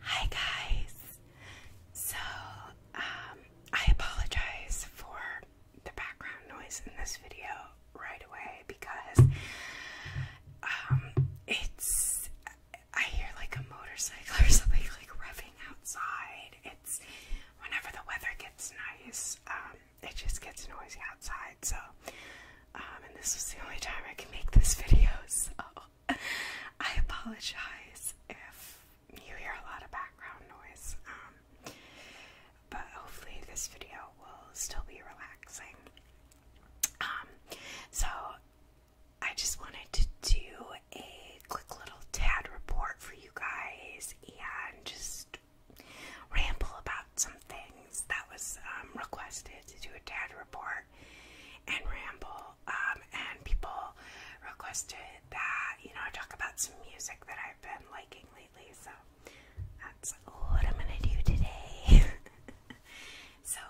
Hi guys. So, um, I apologize for the background noise in this video right away because um, it's I hear like a motorcycle or something like revving outside. It's whenever the weather gets nice, um, it just gets noisy outside. So, um, and this was the only time I can make this video, so. I apologize if you hear a lot of background noise, um, but hopefully, this video will still be relaxing. Um, so, I just wanted to do a quick little TAD report for you guys and just ramble about some things that was um, requested to do a TAD report and ramble. Um, and people requested that, you know, talk about some music that I've been liking lately. So that's what I'm going to do today. so,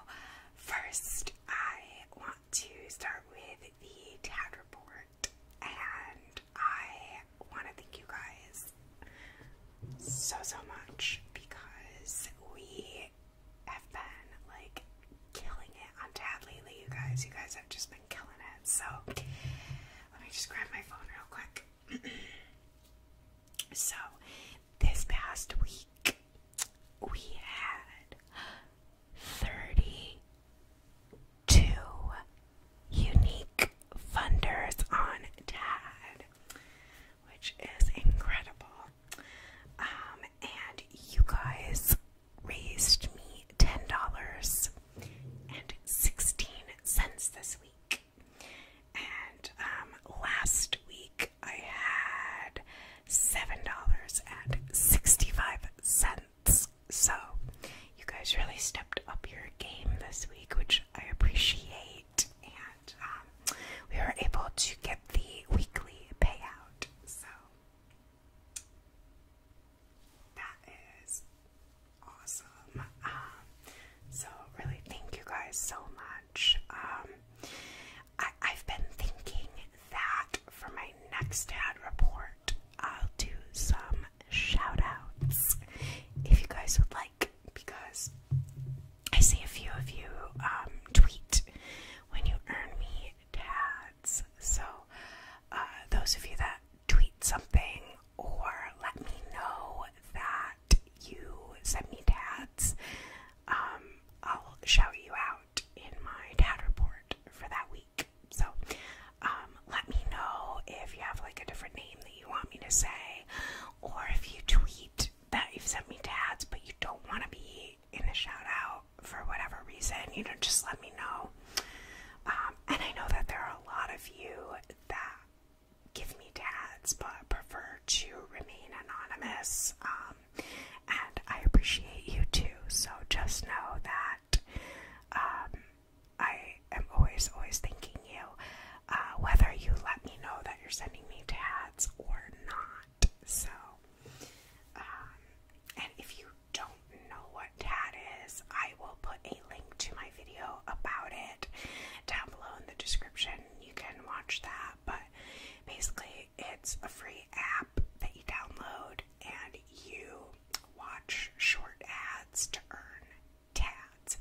first, I want to start with the TAD report. And I want to thank you guys so, so much because we have been like killing it on Tad lately, you guys. You guys have just been killing it. So let me just grab my phone real quick. so this past week we had 32 unique funders on Tad which is incredible. Um, and you guys raised me $10 and 16 cents this week. And um, last week I had $7.65. So you guys really stepped up your game this week, which I appreciate and um, we were able to get the weekly payout. So that is awesome. Um, so really, thank you guys so much. Um, I, have been thinking that for my next ad report, I'll do some shout outs if you guys would like, because I see a few of you um, tweet when you earn me tags. So, uh, those of you that tweet something or let me know that you sent me tags, um, I'll shout you out in my dad report for that week. So, um, let me know if you have like a different name that you want me to say, or if you tweet that you've sent me tags, but you don't want to be in a shout out for whatever reason, you know, just let me know. Um, and I know that there are a lot of you that give me tags but prefer to remain anonymous. Um, and I appreciate you too. So just know that um, I am always, always thanking you. Uh, whether you let me know that you're sending me tags or not. So, um, and if you don't know what TAD is, I will put a link to my video about it down below in the description. You can watch that, but basically, it's a free app that you download and you watch short ads to earn tats.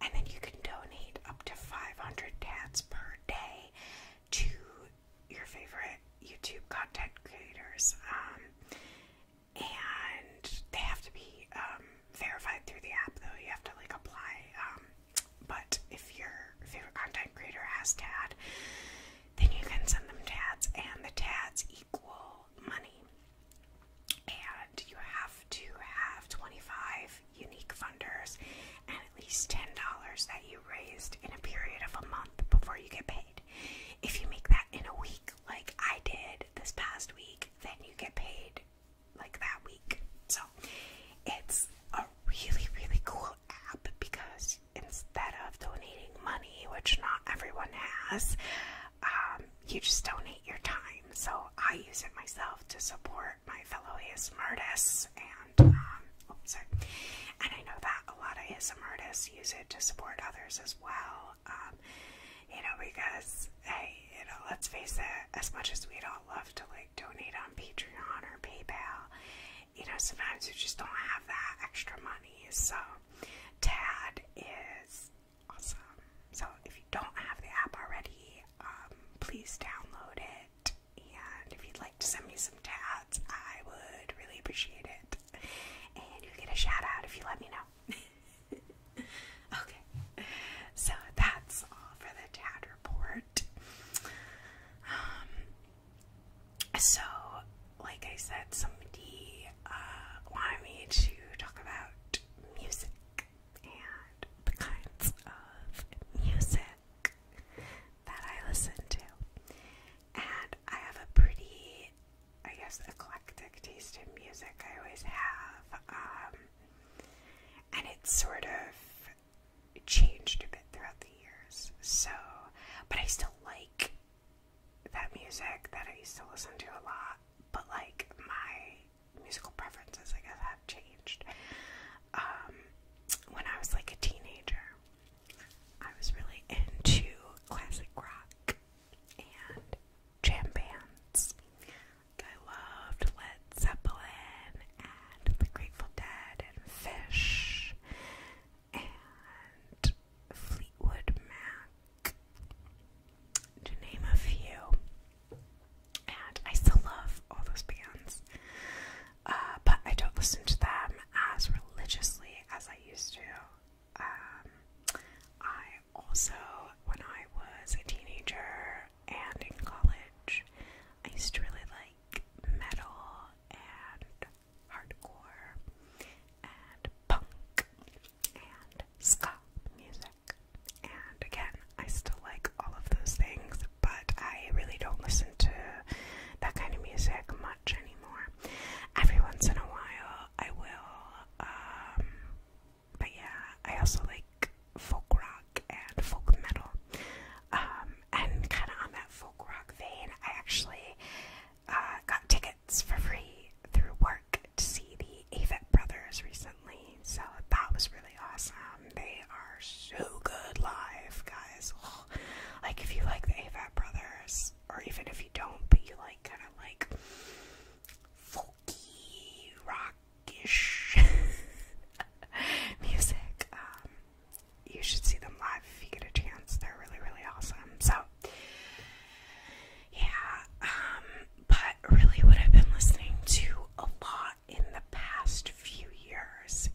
And then you can donate up to 500 tads per day to your favorite YouTube content creators. Um, and they have to be um, verified through the app, though. You have to like apply. Um, but if your favorite content creator has tads, then you can send them TADs, and the TADs equal money. And you have to have 25 unique funders and at least $10 that you raised in a period of a month before you get paid. If you make that in a week, like I did this past week, then you get paid like that week. So it's a really, really cool app because instead of donating money, which not everyone has, um, you just donate your time. So I use it myself to support my fellow ASM artists, and um, sorry. And I know that a lot of ASM artists use it to support others as well. Um, you know, because hey, you know, let's face it. As much as we'd all love to like donate on Patreon or PayPal, you know, sometimes you just don't have that extra money. So, Tad is Awesome. So if you don't have the app already, um, please download it. And if you'd like to send me some tabs, I would really appreciate it. And you get a shout out if you let me know. okay. So that's all for the tad report. Um, so, like I said, somebody uh, wanted me to talk about music and the kinds of music that I listen to. And I have a pretty, I guess, eclectic taste in music. I always have. Um, and it's sort of changed a bit throughout the years. So, but I still like that music that I used to listen to a lot. But like my musical preferences, I guess, have changed. Um, when I was like a teenager, I was really into classic rock and jam bands. I loved Led Zeppelin and The Grateful Dead and Fish and Fleetwood Mac to name a few. And I still love all those bands, uh, but I don't listen to them as religiously as I used to. Um, I also, when I was a teenager and in college, I used to really like metal and hardcore and punk and ska music. And again, I still like all of those things, but I really don't listen to that kind of music much anymore. Every once in a while, I will. Um, but yeah, I also like folk rock and folk metal. Um, and kind of on that folk rock vein, I actually uh, got tickets for free through to see the Avett Brothers recently, so that was really awesome. They are so good live, guys. like, if you like the Avett Brothers, or even if you don't, but you like kind of like folky, rockish music, um, you should see them live if you get a chance. They're really, really awesome. So, yeah, um, but really what I've been listening to a lot in the past few years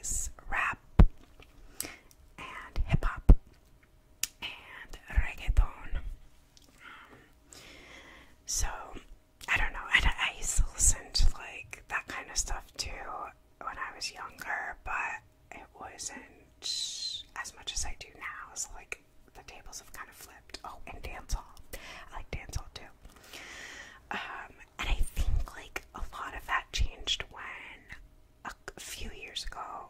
is rap and hip hop and reggaeton. so I don't know. I, used to listen to like that kind of stuff too when I was younger, but it wasn't as much as I do now. It's like the tables have kind of flipped. Oh, and dance hall. I like dance hall too. Um, and I think like a lot of that changed when a, few years ago,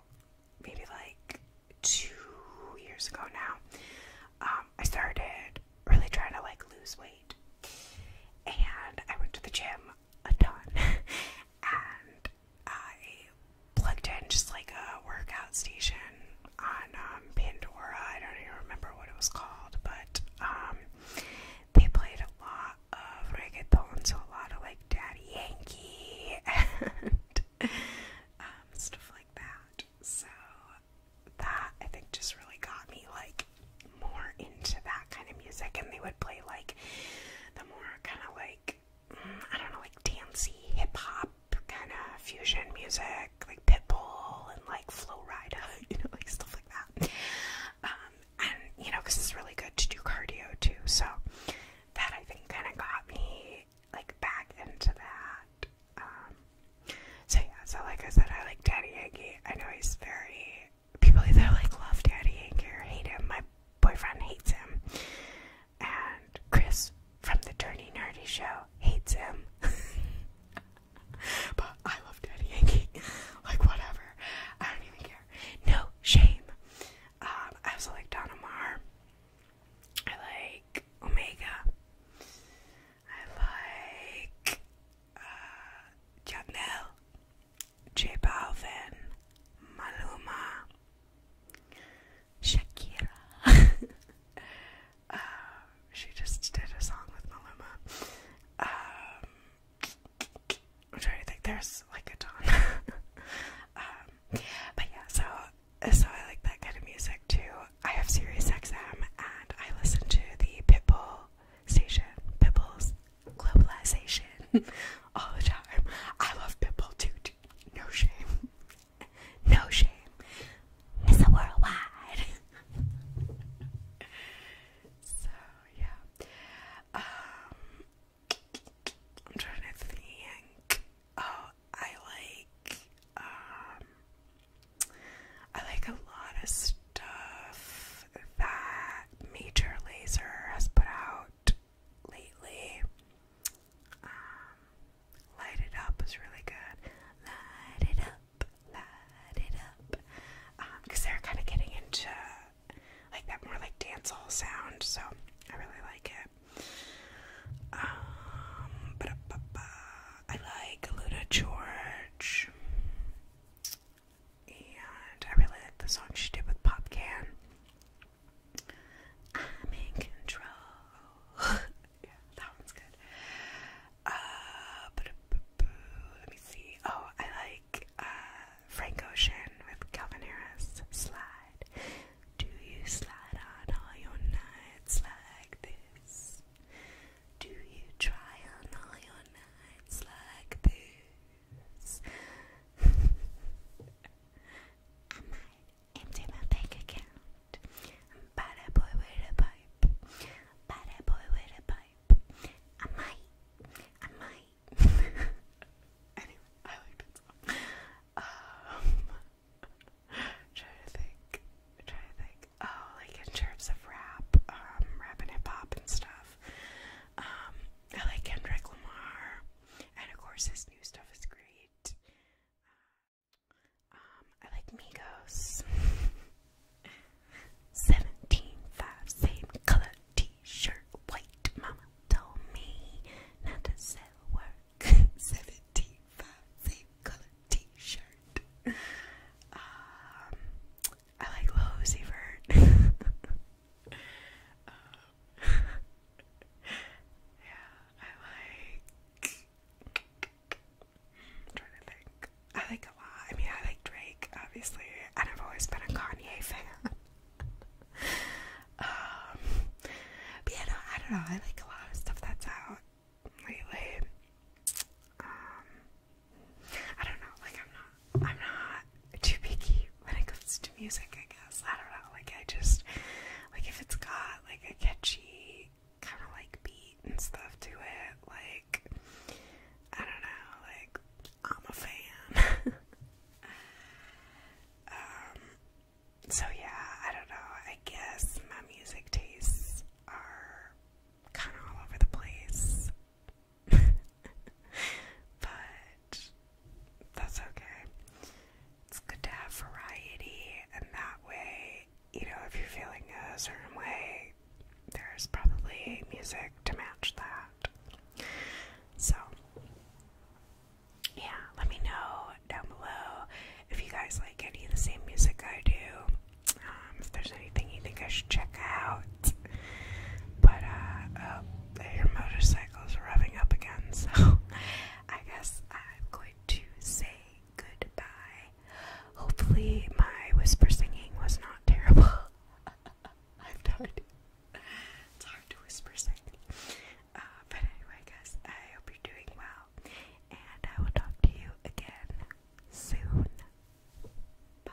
maybe like two years ago now, um, I started really trying to like lose weight. And I went to the gym a ton. and I plugged in just like a workout station on um, Pandora. I don't even remember what it was called, but um, they played a lot of reggaeton, so a lot of like Daddy Yankee and um, stuff like that. So that I think just really got me like more into that kind of music, and they would play like the more kind of like like I don't know, like dancey hip hop kind of fusion music, like Pitbull and like Flow Rida, you know, like stuff like that. Um, and you know, because it's really good to do cardio too. So that I think kind of got me like back into that. Um, so yeah, so like I said, I like Daddy Yankee. I know he's very people either like love Daddy Yankee or hate him. My boyfriend hates him and Chris from the Dirty Nerdy Show hates him. but I love Daddy Yankee. like, whatever. I don't even care. No shame. Um, I also like Donna Maar. I like Omega. I like uh, J Balvin, Maluma. Shakira. Um, she just did a song with Maluma. Um, I'm trying to think. There's like a ton. Um, but yeah, so so I like that kind of music too. I have Sirius XM and I listen to the Pitbull station, Pitbull's Globalization, all the time. I love Pitbull too no shame. No shame. It's a worldwide. so yeah. Um I'm trying to think. Oh, I like um I like a lot of stuff that Major Laser has put out lately. Um, light It Up is really good. Light It Up, Light It Up. Because um, they're kind of getting into like that more like dancehall sound, so I really like it. Um, I like Luna George. And I really like the song she did with Popcan. I'm in control. yeah, that one's good. Uh, let me see. Oh, I like uh, Frank Ocean with Calvin Harris. Slide. Do you slide on all your nights like this? Do you try on all your nights like this? I might empty my bank account. Bad a boy with a pipe. Bad a boy with a pipe. I might. I might. anyway, I like that song. Um, trying to think. Trying to think. Oh, like in terms of rap, um, rap and hip hop and stuff. Um, I like Kendrick Lamar. And of course, this new stuff is great. Um, um I like Migos. 17.5, same color t shirt. White mama told me not to sell work. 17.5, same color t shirt. Um, I like Lil yeah, I like. trying to think. I like a lot. I mean, I like Drake, obviously, and I've always been a Kanye fan. um, but yeah, no, I don't know. I like a lot of stuff that's out lately. Um, I don't know. Like, I'm not I'm not too picky when it comes to music, I guess. I don't know. Like, I just, like, if it's got, like, a catchy kind of, like, beat and stuff to it, like, I don't know. Like, I'm a fan. um, so yeah, I don't know. I guess my music tastes are kind of all over the place. but that's okay. It's good to have variety, and that way, you know, if you're feeling a certain way, there's probably music to match that. So, yeah, let me know down below if you guys like any of the same music I do. Um, if there's anything you think I should check out, but uh, uh, your revving up again, so I guess I'm going to say goodbye. Hopefully, my whisper singing was not terrible. I've died. It's hard to whisper sing. Uh, but anyway, guys, I hope you're doing well, and I will talk to you again soon. Bye.